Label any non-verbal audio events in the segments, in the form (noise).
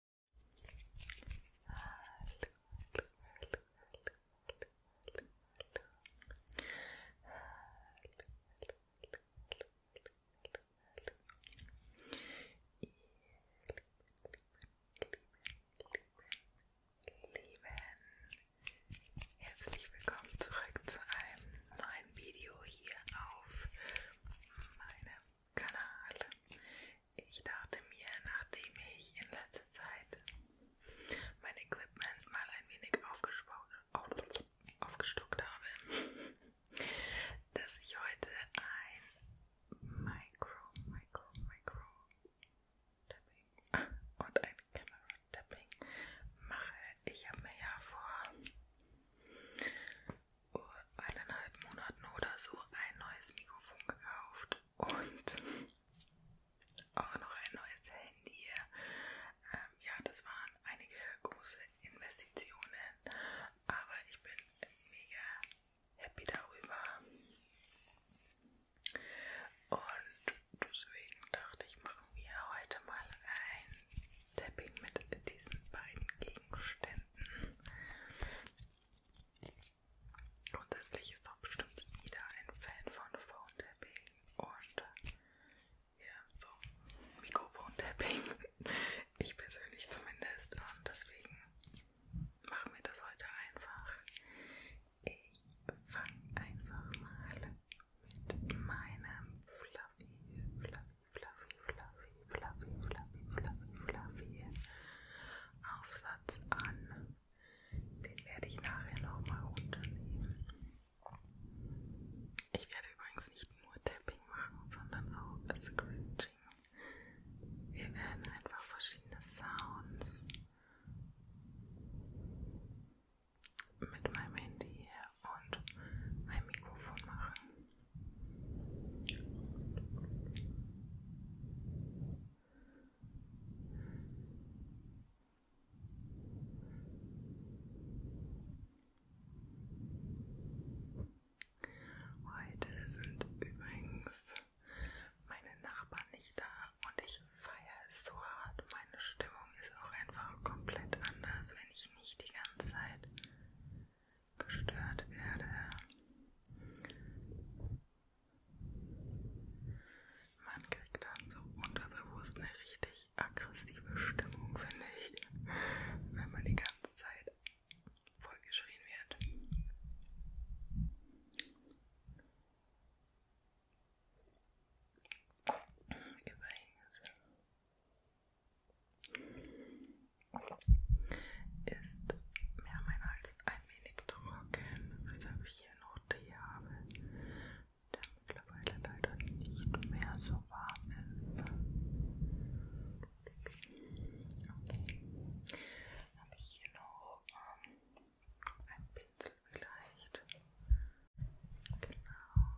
lieben, herzlich willkommen zurück zu einem neuen Video hier auf meinem Kanal. Ich dachte mir, nachdem ich in letzter Zeit mein Equipment mal ein wenig aufgestockt habe, (laughs) dass ich heute ein Micro, Micro, Micro Tapping und ein Camera Tapping mache. Ich habe mir ja vor eineinhalb Monaten oder so ein neues Mikrofon gekauft und (laughs) auch noch ein neues Handy. Ähm, ja, das waren einige große Investitionen, aber ich bin mega happy darüber. Und deswegen dachte ich, machen wir heute mal ein Tapping mit diesen beiden Gegenständen finden. Grundsätzlich ist doch bestimmt jeder ein Fan von Phone Tapping und äh, ja, so Mikrofon Tapping. Ich persönlich zumindest und deswegen machen wir das heute einfach. Ich fange einfach mal mit meinem Fluffy, Fluffy, fluffy, fluffy, fluffy, fluffy, fluffy, fluffy Aufsatz an. Den werde ich nachher nochmal runternehmen. Ich werde übrigens nicht nur Tapping machen, sondern auch Scratching. Wir werden einfach verschiedene Sounds mit meinem Handy und meinem Mikrofon machen. Heute sind übrigens meine Nachbarn nicht da und ich feiere es so hart. Meine Stimmung ist auch einfach komplett anders, wenn ich nicht die ganze Zeit gestört werde. Man kriegt dann so unterbewusst eine richtig aggressive Stimmung, finde ich, wenn man die ganze Zeit vollgeschrien wird. Übrigens ist mehr mein Hals ein wenig trocken, weshalb ich hier noch Tee habe, der mittlerweile leider nicht mehr so warm ist. Okay, habe ich hier noch ähm, einen Pinsel vielleicht. Genau.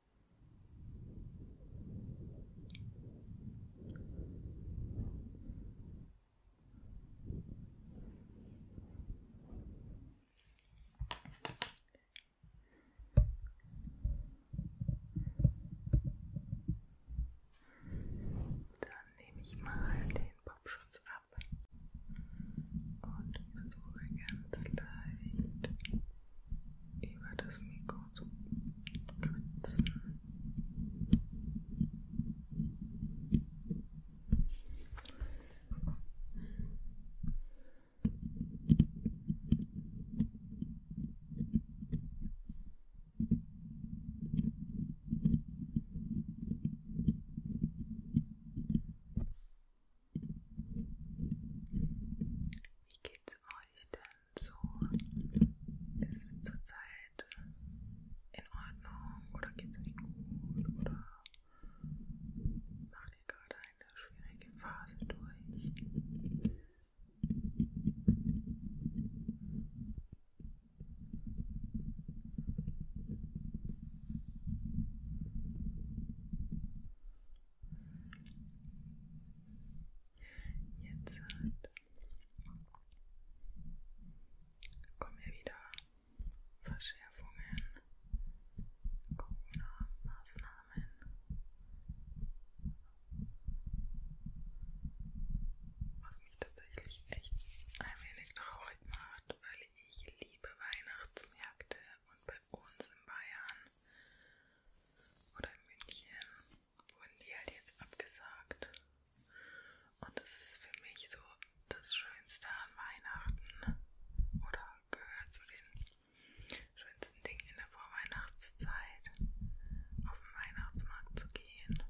Dann nehme ich mal den Popschutz ab und versuche ganz leicht über das Mikro zu kratzen. Wie geht's euch denn? so ist es zurzeit in Ordnung oder geht es nicht gut oder macht ihr gerade eine schwierige Phase durch? Jetzt halt. kommen hier wieder Verschärfungen, Corona-Maßnahmen. Was mich tatsächlich echt ein wenig traurig macht, weil ich liebe Weihnachtsmärkte und bei uns in Bayern oder in München wurden die halt jetzt abgesagt. Und das ist für mich so das Schönste an Weihnachten oder gehört zu den schönsten Dingen in der Vorweihnachtszeit, auf den Weihnachtsmarkt zu gehen,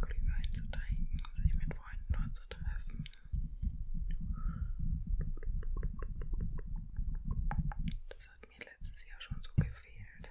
Glühwein zu trinken, sich mit Freunden dort zu treffen. Das hat mir letztes Jahr schon so gefehlt.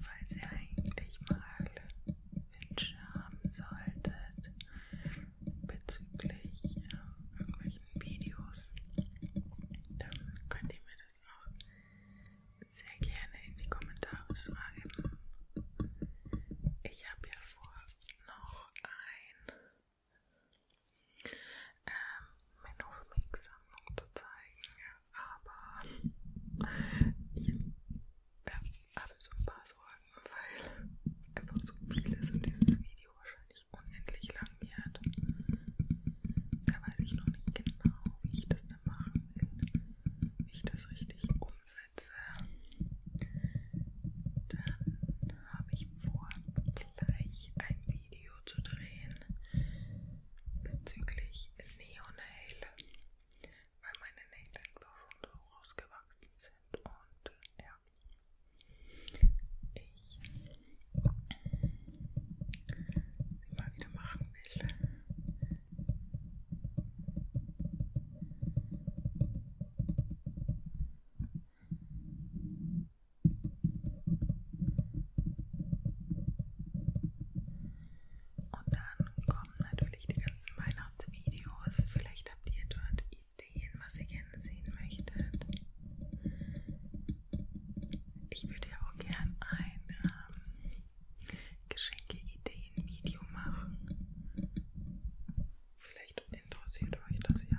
Falls ihr eigentlich mal Wünsche haben solltet bezüglich äh, irgendwelchen Videos, dann könnt ihr mir das auch sehr gerne in die Kommentare schreiben. Ich habe ja vor, noch ein ähm, Menofmix-Sammlung zu zeigen, aber ich ja, äh, habe so ein paar Sorgen, weil einfach so viel ist in dieses Video. Video wahrscheinlich unendlich lang wird. Da weiß ich noch nicht genau, wie ich das dann machen will, wie ich das richtig umsetze. Dann habe ich vor, gleich ein Video zu drehen bezüglich Neonail, weil meine Nägel einfach schon so rausgewachsen sind und ja ich sie mal wieder machen will. Und dann kommen natürlich die ganzen Weihnachtsvideos. Vielleicht habt ihr dort Ideen, was ihr gerne sehen möchtet. Ich würde ja auch gern ein ähm, Geschenke-Ideen-Video machen. Vielleicht interessiert euch das ja.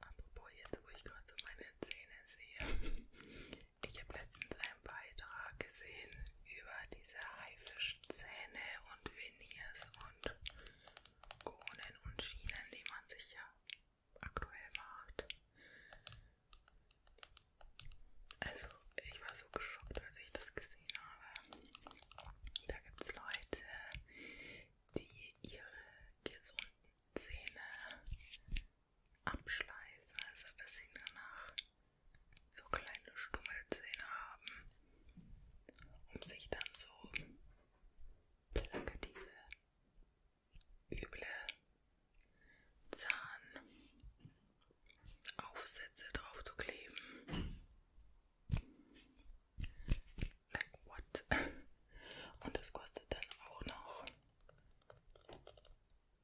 Apropos jetzt, wo ich gerade so meine Zähne sehe. Ich habe letztens einen Beitrag gesehen über diese Haifischzähne und Veneers und Kronen und Schienen, die man sich ja aktuell macht. Also, ich war so geschockt, als ich das gesehen habe. Da gibt es Leute, die ihre gesunden Zähne abschleifen, also dass sie danach so kleine Stummelzähne haben, um sich dann so plakative, üble Zahnaufsätze drauf zu kleben. Like what? Und das kostet dann auch noch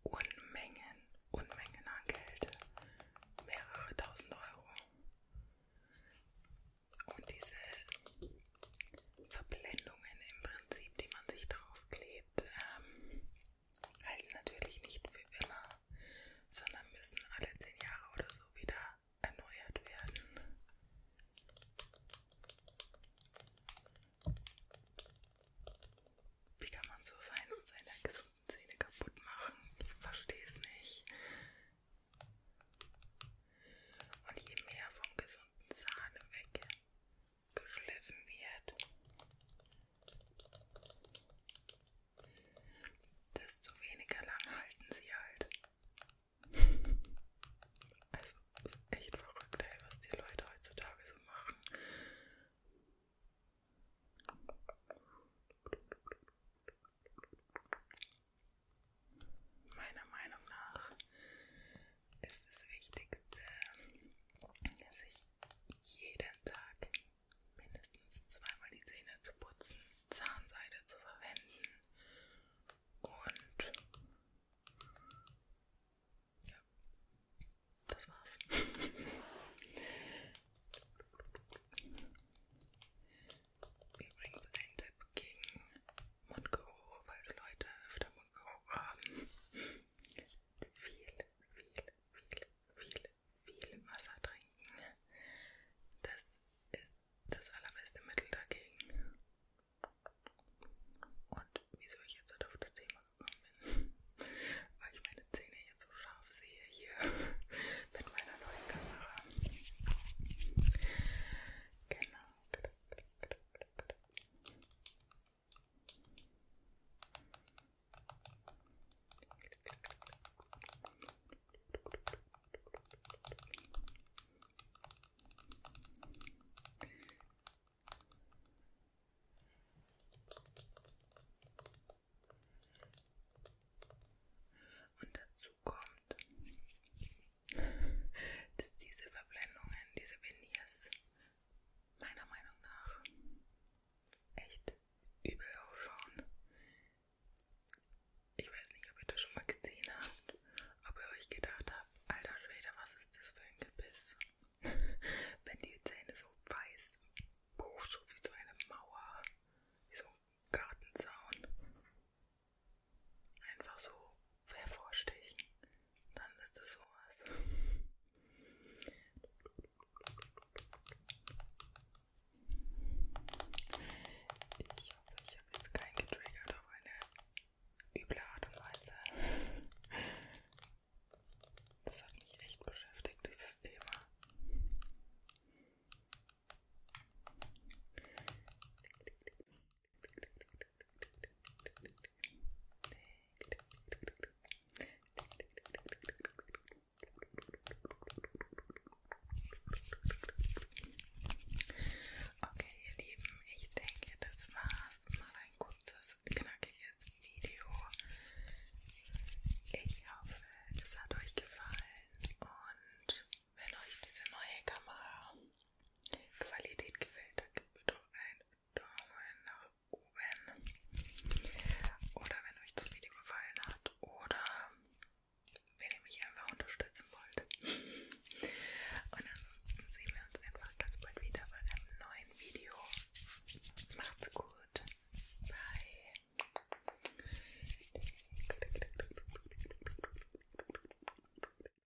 Unmengen, Unmengen an Geld. Mehrere tausend Euro. Und diese Verblendungen im Prinzip, die man sich draufklebt, ähm, halten natürlich nicht für immer, sondern müssen alle zehn Jahre oder so wieder erneuert werden. Wie kann man so sein und seine gesunden Zähne kaputt machen? Ich verstehe es nicht. Und je mehr vom gesunden Zahn weg geschliffen wird, desto weniger lang halten sie halt. Also ist echt verrückt, ey, was die Leute heutzutage so machen. Meiner Meinung nach ist das Wichtigste, dass ich jeden Tag mindestens zweimal die Zähne zu putzen, Zahnseide zu verwenden und ja, das war's. Übrigens ein Tipp gegen Mundgeruch, falls Leute öfter Mundgeruch haben viel, viel, viel, viel, viel Wasser trinken. Das ist das allerbeste Mittel dagegen. Und wieso ich jetzt halt auf das Thema gekommen bin, weil ich meine Zähne jetzt so scharf sehe hier (laughs) mit meiner neuen Kamera. Genau. Und dazu kommt, dass diese Verblendungen, diese Veneers meiner Meinung nach echt übel ausschauen. Ich weiß nicht, ob ihr das schon mal gesehen habt, ob ihr euch gedacht habt, alter Schwede, was ist das für ein Gebiss? (laughs) Wenn die Zähne so weiß, boah, so wie so eine Mauer, wie so ein Gartenzaun. Einfach so hervorstechen, dann ist das sowas. Ich hoffe, ich habe jetzt keinen getriggert auf eine üble Art und Weise. Das hat mich echt beschäftigt, dieses Thema. Okay, ihr Lieben, ich denke, das war's. Mal ein kurzes, knackiges Video. Ich hoffe, es hat euch gefallen und wenn euch diese neue Kamera Qualität gefällt, da gibt mir doch einen Daumen nach oben. Oder wenn euch das Video gefallen hat oder wenn ihr mich einfach unterstützen wollt. Und ansonsten sehen wir uns einfach ganz bald wieder bei einem neuen Video. Macht's gut. Bye.